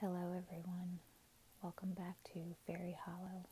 Hello, everyone. Welcome back to Fairy Hollow.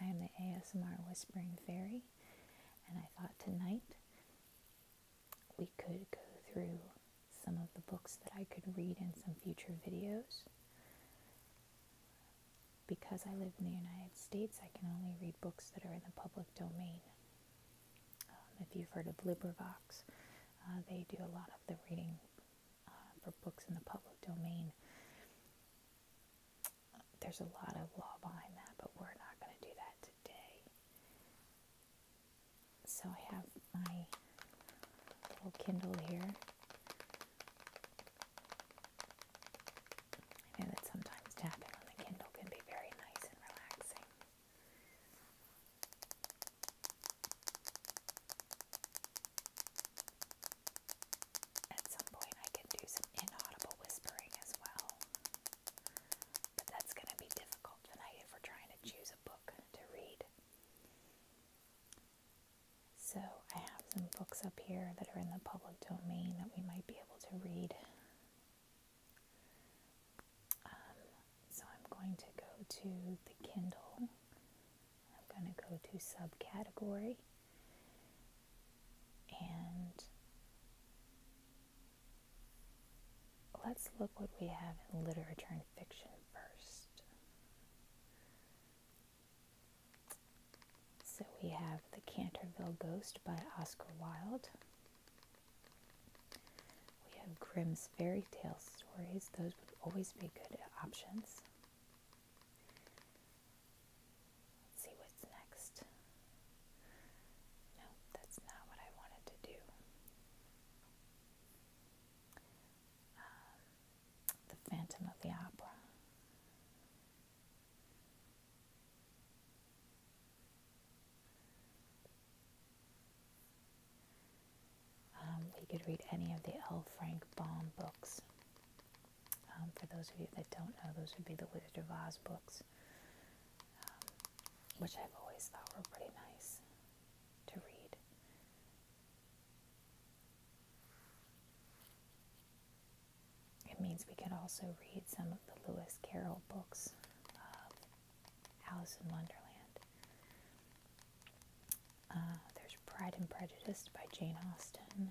I am the ASMR Whispering Fairy, and I thought tonight we could go through some of the books that I could read in some future videos. Because I live in the United States, I can only read books that are in the public domain. Um, if you've heard of LibriVox, uh, they do a lot of the reading uh, for books in the public domain. There's a lot of law behind that, but we're not going to do that today. So I have my little Kindle here. I know that sometimes tapping on the Kindle can be very nice and relaxing. At some point, I can do some inaudible whispering as well, but that's going to be difficult tonight if we're trying to choose a book to read. So, I have some books up here that are in the public domain that we might be able to read um, so I'm going to go to the Kindle. I'm going to go to subcategory and let's look what we have in literature and fiction first. So we have The Canterville Ghost by Oscar Wilde. We have Grimm's fairy tale stories, those would always be good options. see what's next. No, that's not what I wanted to do. Um, the Phantom of the Opera. Um, you could read any of the L. Frank Baum books. Um, for those of you that don't know, those would be the Wizard of Oz books, um, which I've always thought were pretty nice to read. It means we could also read some of the Lewis Carroll books, uh, Alice in Wonderland. Uh, there's Pride and Prejudice by Jane Austen.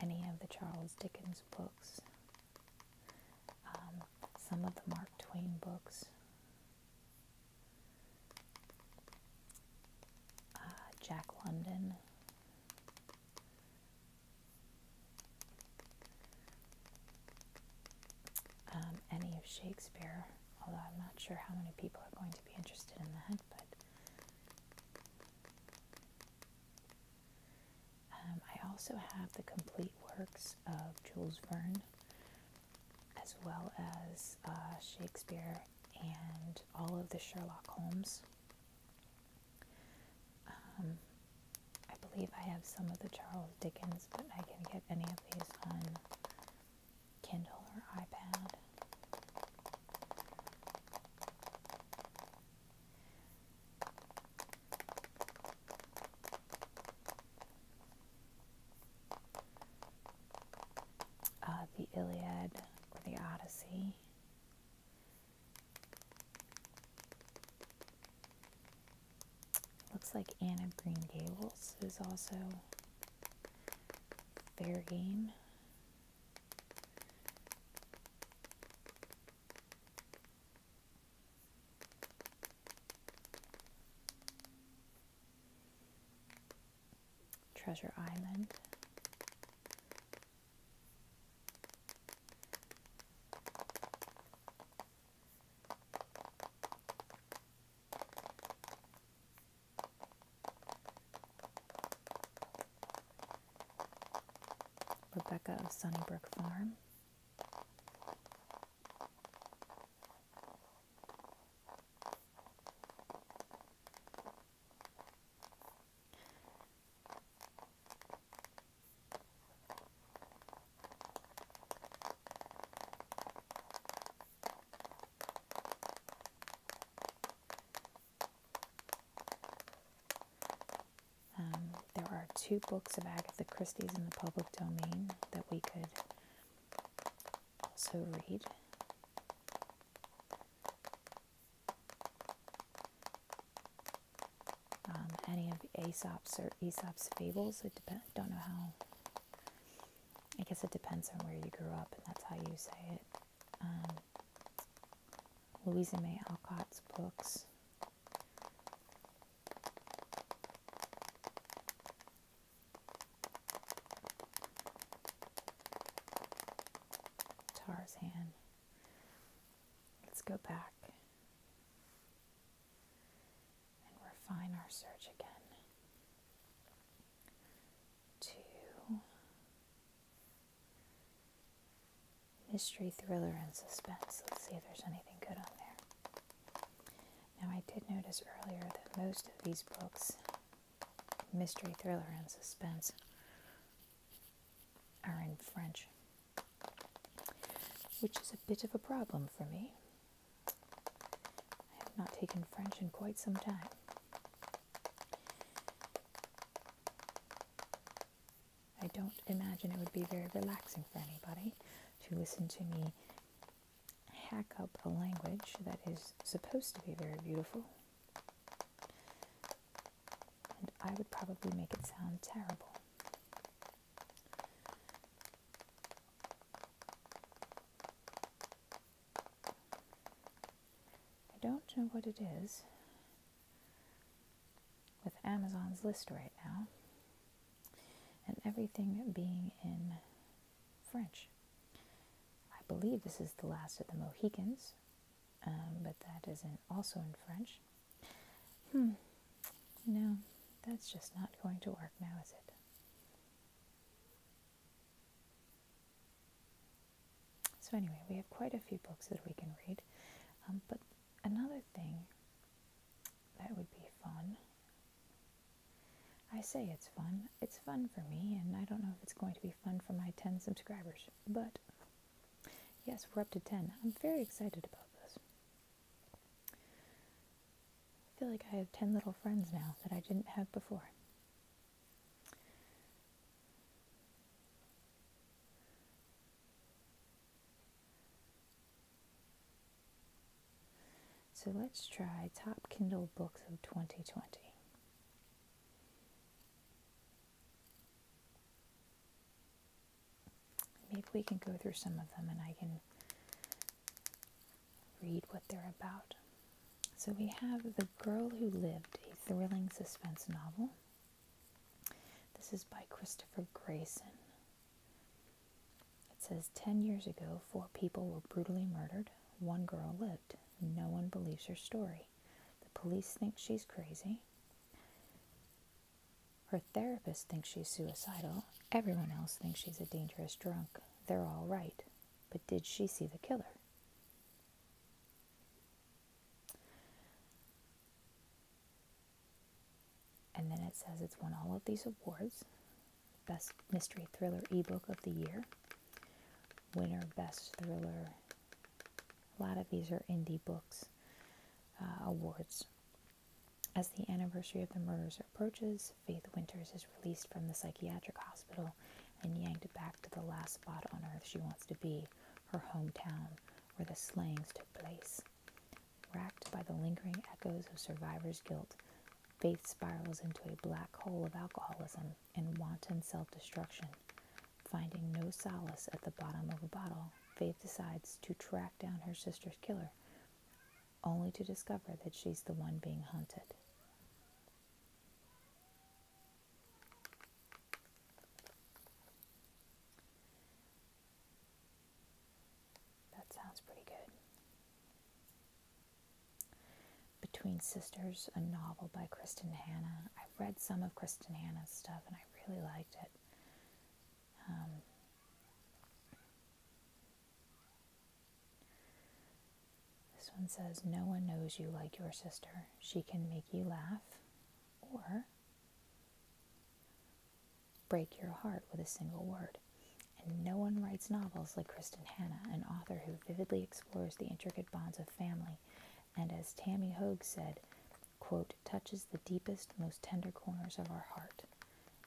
Any of the Charles Dickens books. Um, some of the Mark Twain books. Uh, Jack London. Um, any of Shakespeare, although I'm not sure how many people are going to be interested in that, but um, I also have the complete works of Jules Verne, as well as uh, Shakespeare and all of the Sherlock Holmes um, I believe I have some of the Charles Dickens, but I can get any of these on Kindle or iPad. Uh, the Iliad or the Odyssey. Looks like Anne of Green Gables is also fair game. Treasure Island. Rebecca of Sunnybrook Farm. Um, there are two books of Agatha Christie's in the public domain that we could also read. Um, any of Aesop's or Aesop's fables. I don't know how. I guess it depends on where you grew up, and that's how you say it. Um, Louisa May Alcott's books. Tarzan. Let's go back and refine our search again to mystery, thriller, and suspense. Let's see if there's anything good on there. Now, I did notice earlier that most of these books, mystery, thriller, and suspense, are in French, which is a bit of a problem for me. I have not taken French in quite some time. I don't imagine it would be very relaxing for anybody to listen to me hack up a language that is supposed to be very beautiful and I would probably make it sound terrible. I don't know what it is with Amazon's list right now and everything being in French. I believe this is the last of the Mohicans. Um, but that isn't also in French. Hmm, no, that's just not going to work now, is it? So, anyway, we have quite a few books that we can read, um, but another thing that would be fun. I say it's fun. It's fun for me, and I don't know if it's going to be fun for my 10 subscribers. But Yes, we're up to 10. I'm very excited about this. I feel like I have 10 little friends now that I didn't have before. So let's try Top Kindle Books of 2020. Maybe we can go through some of them and I can read what they're about. So we have The Girl Who Lived, a thrilling suspense novel. This is by Christopher Grayson. It says 10 years ago, four people were brutally murdered. One girl lived. No one believes her story. The police think she's crazy. Her therapist thinks she's suicidal. Everyone else thinks she's a dangerous drunk. They're all right. But did she see the killer? And then it says it's won all of these awards Best Mystery Thriller Ebook of the Year, winner Best Thriller a lot of these are indie books uh, awards. As the anniversary of the murders approaches, Faith Winters is released from the psychiatric hospital and yanked back to the last spot on earth she wants to be, her hometown, where the slayings took place. Racked by the lingering echoes of survivor's guilt, Faith spirals into a black hole of alcoholism and wanton self destruction. Finding no solace at the bottom of a bottle, Faith decides to track down her sister's killer, only to discover that she's the one being hunted. That sounds pretty good. Between Sisters, a novel by Kristen Hanna. I've read some of Kristen Hanna's stuff and I really liked it. Um, this one says, No one knows you like your sister. She can make you laugh or break your heart with a single word. And no one writes novels like Kristen Hanna, an author who vividly explores the intricate bonds of family and as Tammy Hoag said, touches the deepest, most tender corners of our heart.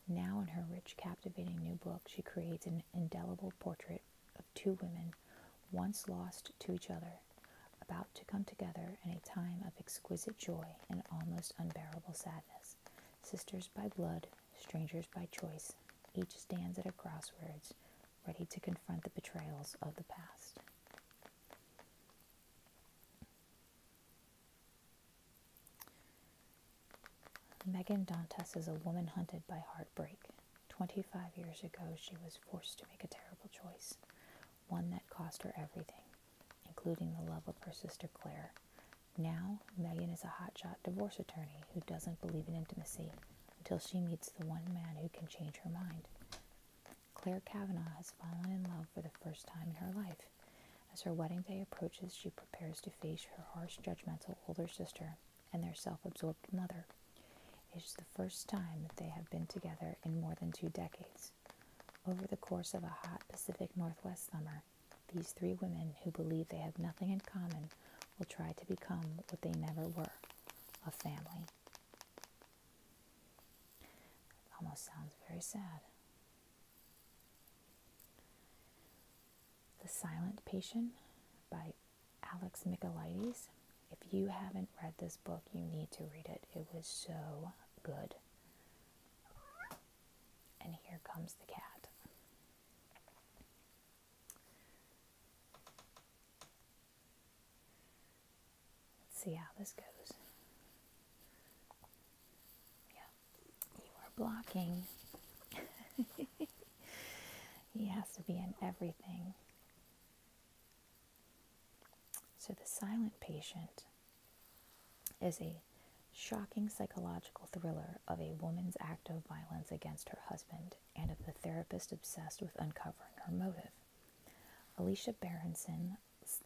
Now, in her rich, captivating new book, she creates an indelible portrait of two women once lost to each other, about to come together in a time of exquisite joy and almost unbearable sadness. Sisters by blood, strangers by choice, each stands at a crossroads, ready to confront the betrayals of the past. Megan Dantas is a woman hunted by heartbreak. 25 years ago, she was forced to make a terrible choice, one that cost her everything, including the love of her sister Claire. Now, Megan is a hotshot divorce attorney who doesn't believe in intimacy until she meets the one man who can change her mind. Claire Kavanaugh has fallen in love for the first time in her life. As her wedding day approaches, she prepares to face her harsh, judgmental older sister and their self absorbed mother. It is the first time that they have been together in more than two decades. Over the course of a hot Pacific Northwest summer, these three women, who believe they have nothing in common, will try to become what they never were a family. It almost sounds very sad. The Silent Patient by Alex Michaelides. If you haven't read this book, you need to read it. It was so good. And here comes the cat. Let's see how this goes. Yeah, you are blocking. he has to be in everything. So the silent patient is a shocking psychological thriller of a woman's act of violence against her husband and of the therapist obsessed with uncovering her motive. Alicia Berenson's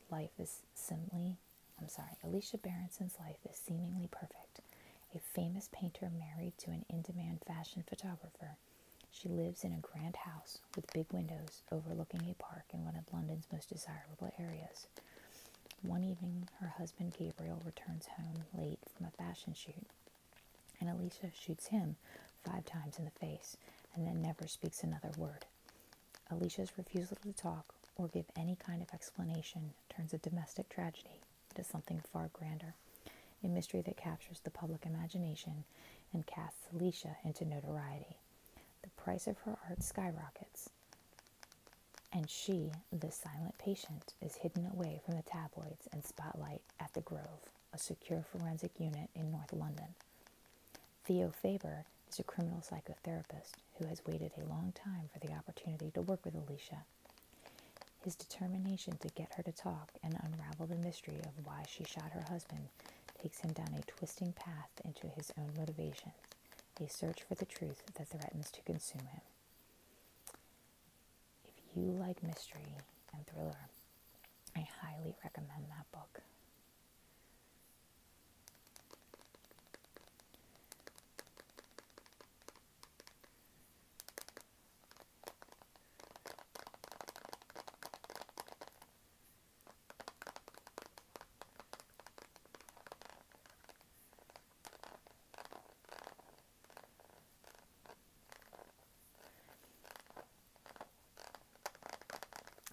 life is simply, I'm sorry, Alicia Berenson's life is seemingly perfect. A famous painter married to an in-demand fashion photographer, she lives in a grand house with big windows overlooking a park in one of London's most desirable areas. One evening, her husband Gabriel returns home late from a fashion shoot and Alicia shoots him five times in the face and then never speaks another word. Alicia's refusal to talk or give any kind of explanation turns a domestic tragedy into something far grander, a mystery that captures the public imagination and casts Alicia into notoriety. The price of her art skyrockets. And she, the silent patient, is hidden away from the tabloids and spotlight at the Grove, a secure forensic unit in North London. Theo Faber is a criminal psychotherapist who has waited a long time for the opportunity to work with Alicia. His determination to get her to talk and unravel the mystery of why she shot her husband takes him down a twisting path into his own motivation, a search for the truth that threatens to consume him. If you like mystery and thriller, I highly recommend that book.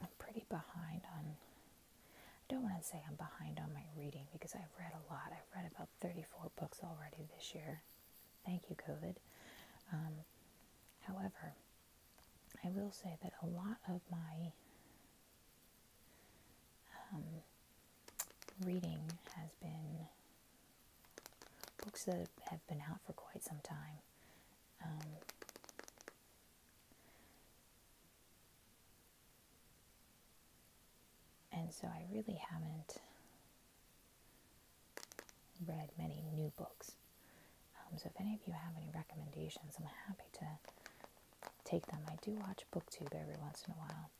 I'm pretty behind on, I don't want to say I'm behind on my reading because I've read a lot. I've read about 34 books already this year. Thank you, COVID. Um, however, I will say that a lot of my um, reading has been books that have been out for quite some time. Um, and so I really haven't read many new books. Um, so if any of you have any recommendations, I'm happy to take them. I do watch BookTube every once in a while.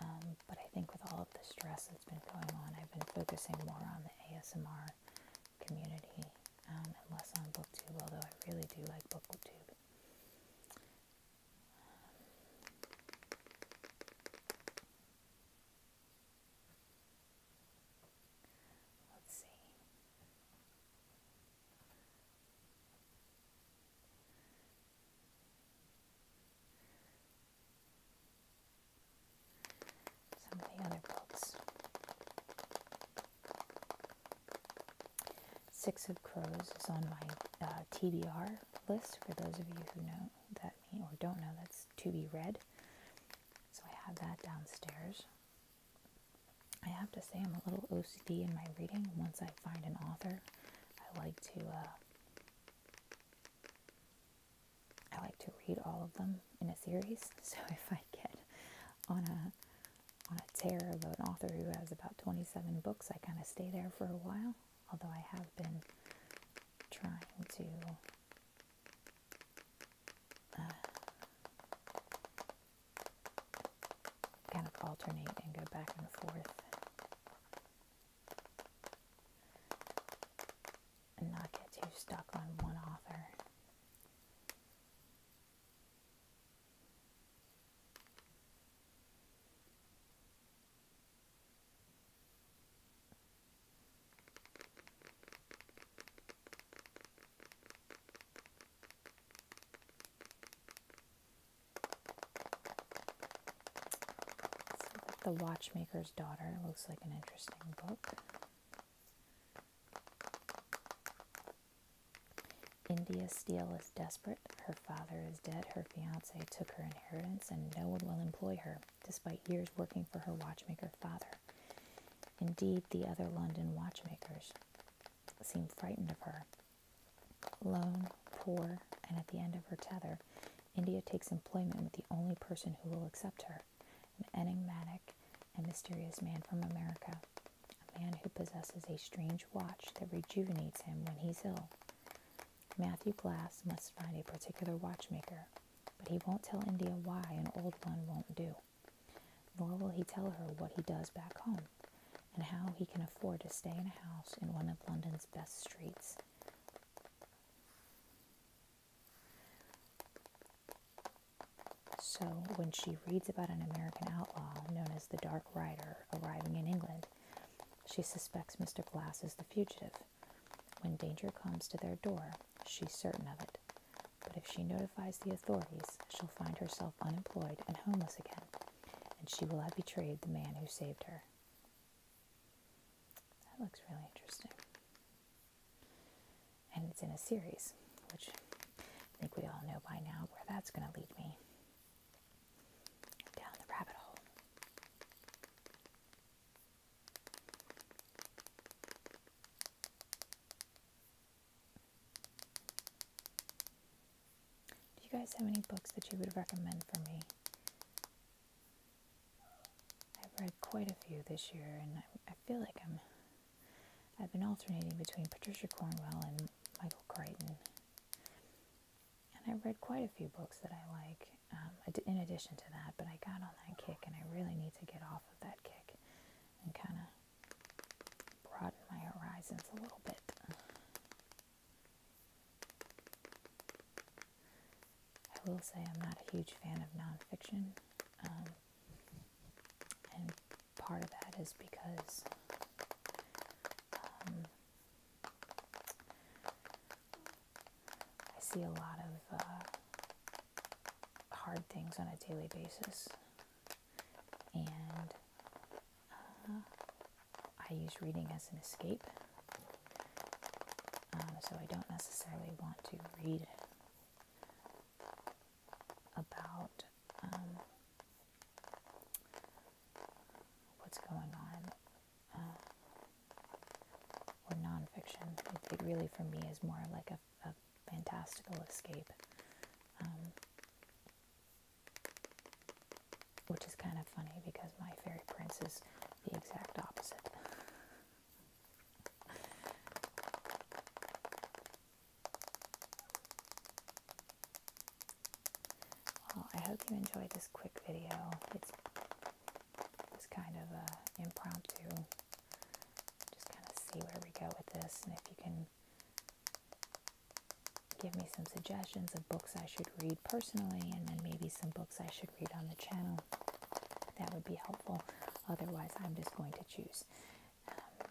Um, but I think with all of the stress that's been going on, I've been focusing more on the ASMR community um, and less on BookTube, although I really do like BookTube. let's see some of the other books. Six of Crows is on my uh, TBR list for those of you who know that mean, or don't know that's to be read. So I have that downstairs. I have to say, I'm a little OCD in my reading. Once I find an author, I like to uh, I like to read all of them in a series. So if I get on a on a tear of an author who has about 27 books, I kind of stay there for a while. Although I have been trying to uh, kind of alternate and go back and forth. And not get too stuck on one author. The Watchmaker's Daughter looks like an interesting book. India Steele is desperate. Her father is dead. Her fiance took her inheritance, and no one will employ her, despite years working for her watchmaker father. Indeed, the other London watchmakers seem frightened of her. Lone, poor, and at the end of her tether, India takes employment with the only person who will accept her an enigmatic and mysterious man from America, a man who possesses a strange watch that rejuvenates him when he's ill. Matthew Glass must find a particular watchmaker, but he won't tell India why an old one won't do. Nor will he tell her what he does back home and how he can afford to stay in a house in one of London's best streets. So, when she reads about an American outlaw known as the Dark Rider arriving in England, she suspects Mr. Glass is the fugitive. When danger comes to their door, she's certain of it. But if she notifies the authorities, she'll find herself unemployed and homeless again, and she will have betrayed the man who saved her. That looks really interesting. And it's in a series, which I think we all know by now where that's going to lead me down the rabbit hole. Do you guys have any books that you would recommend for me? I've read quite a few this year, and I, feel like I'm. I've been alternating between Patricia Cornwell and Michael Crichton, and I have read quite a few books that I like. Um, in addition to that, but I got on that kick, and I really need to get off of that kick and kind of broaden my horizons a little bit. I will say I'm not a huge fan of nonfiction, um, and part of that is because um, I see a lot of uh, hard things on a daily basis and uh, I use reading as an escape. Um, so I don't necessarily want to read about um, what's going on uh, or nonfiction. It, it really, for me, is more like a a, fantastical escape, um, which is kind of funny because my fairy prince is the exact opposite. Well, I hope you enjoyed this quick video. It's it's kind of uh, impromptu just kind of see where we go with this and if you can give me some suggestions of books I should read personally and then maybe some books I should read on the channel. That would be helpful. Otherwise, I'm just going to choose. Um,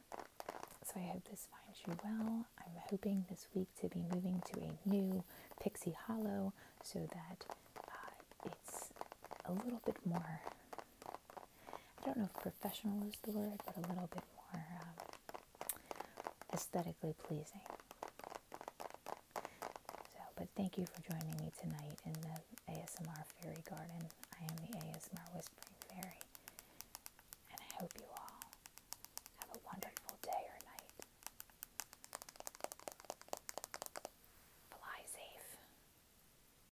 so I hope this finds you well. I'm hoping this week to be moving to a new Pixie Hollow so that uh, it's a little bit more I don't know if professional is the word, but a little bit more um, aesthetically pleasing. So, but thank you for joining me tonight in the ASMR Fairy Garden. I am the ASMR Whispering Fairy, and I hope you all have a wonderful day or night. Fly safe.